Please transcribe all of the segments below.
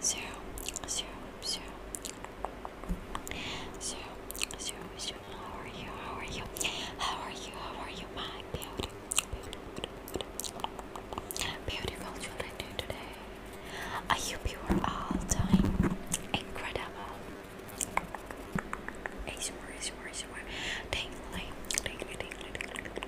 zero, zero, zero, zero, zero, zero. How are you? How are you? How are you? How are you, my beauty? Beautiful children today. Are you pure all time? Incredible. ASMR, ASMR, ASMR. Tingly, tingly, tingly, tingly,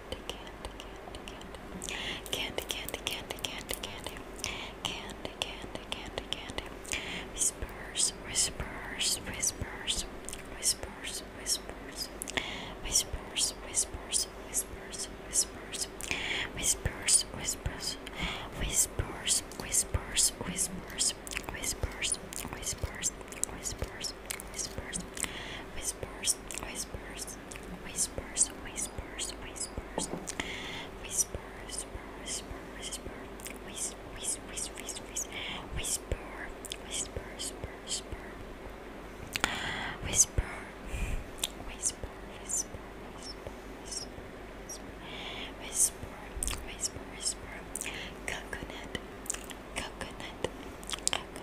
candy, candy, candy, candy, candy, candy, candy, candy, candy, candy, candy, candy, whispers, whispers, whispers, whispers, whispers, whispers, whispers, whispers, whispers, whispers, whispers, whispers, whispers, whispers, whispers, whispers, whispers, whispers, whispers, whispers, whispers, whispers, whispers, whispers, whispers, whispers, whisper, whisper, whis, whis, whis, whis, whis, whisper, whisper, whisper, whisper, whisper, whisper, whisper, whisper, whisper, whisper, whisper, coconut, coconut, coconut.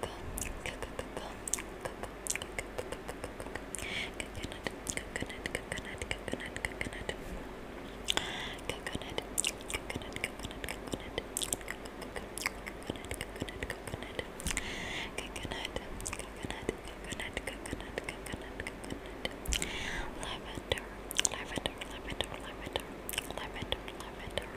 coconut, lavender, lavender, lavender, lavender, lavender, lavender,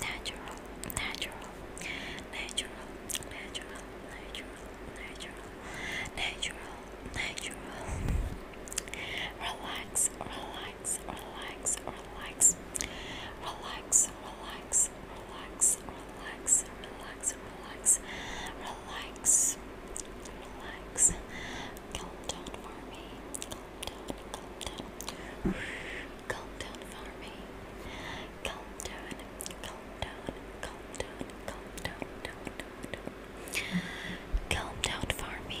natural, natural, natural, natural, natural, natural, natural, natural. Relax, relax, relax, relax, relax, relax, relax, relax, relax, relax, relax, Calm down for me calm down, for me. Calm down, calm down, calm down, calm down, Calm down for me. Calm down for me.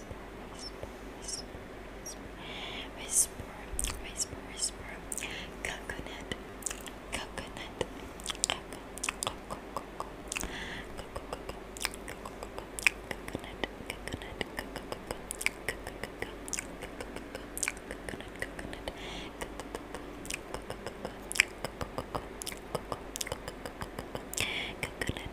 whisper, whisper, whisper, whisper, whisper, whisper, coconut, coconut, coconut coconut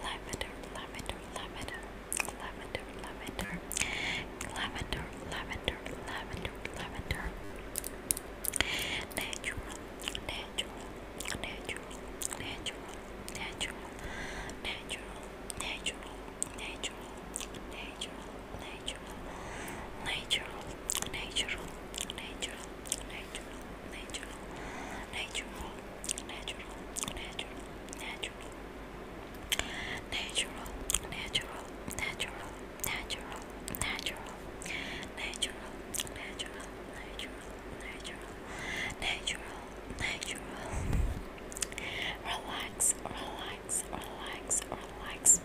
lavender, lavender, lavender, lavender, lavender, lavender, lavender, lavender, lavender, natural, natural, natural, natural, natural, natural, natural, natural, natural, natural, natural, natural, natural, natural natural, natural, natural, natural, natural, natural, natural, natural, natural, natural, natural, natural, natural, natural, natural, natural. Relax, relax, relax, relax,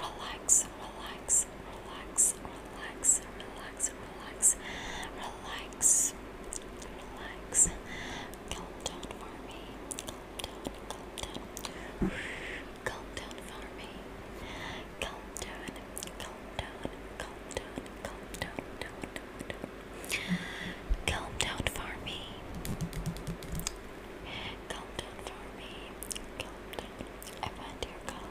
relax, relax, relax, relax, relax, relax, relax, relax, Calm down for me. Calm down, calm down. Calm down for me. Calm down, calm down, calm down, calm down, down, down, Calm down for me. Calm down for me. Calm down. I want your calm.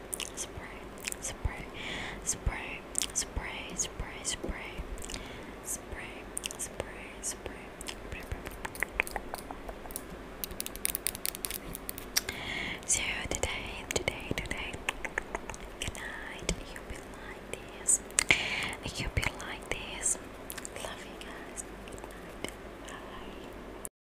spray, spray, spray, spray, spray, spray, spray, spray, spray, So today, today, today, good night. You will like this. You will like this. Love you guys. Bye.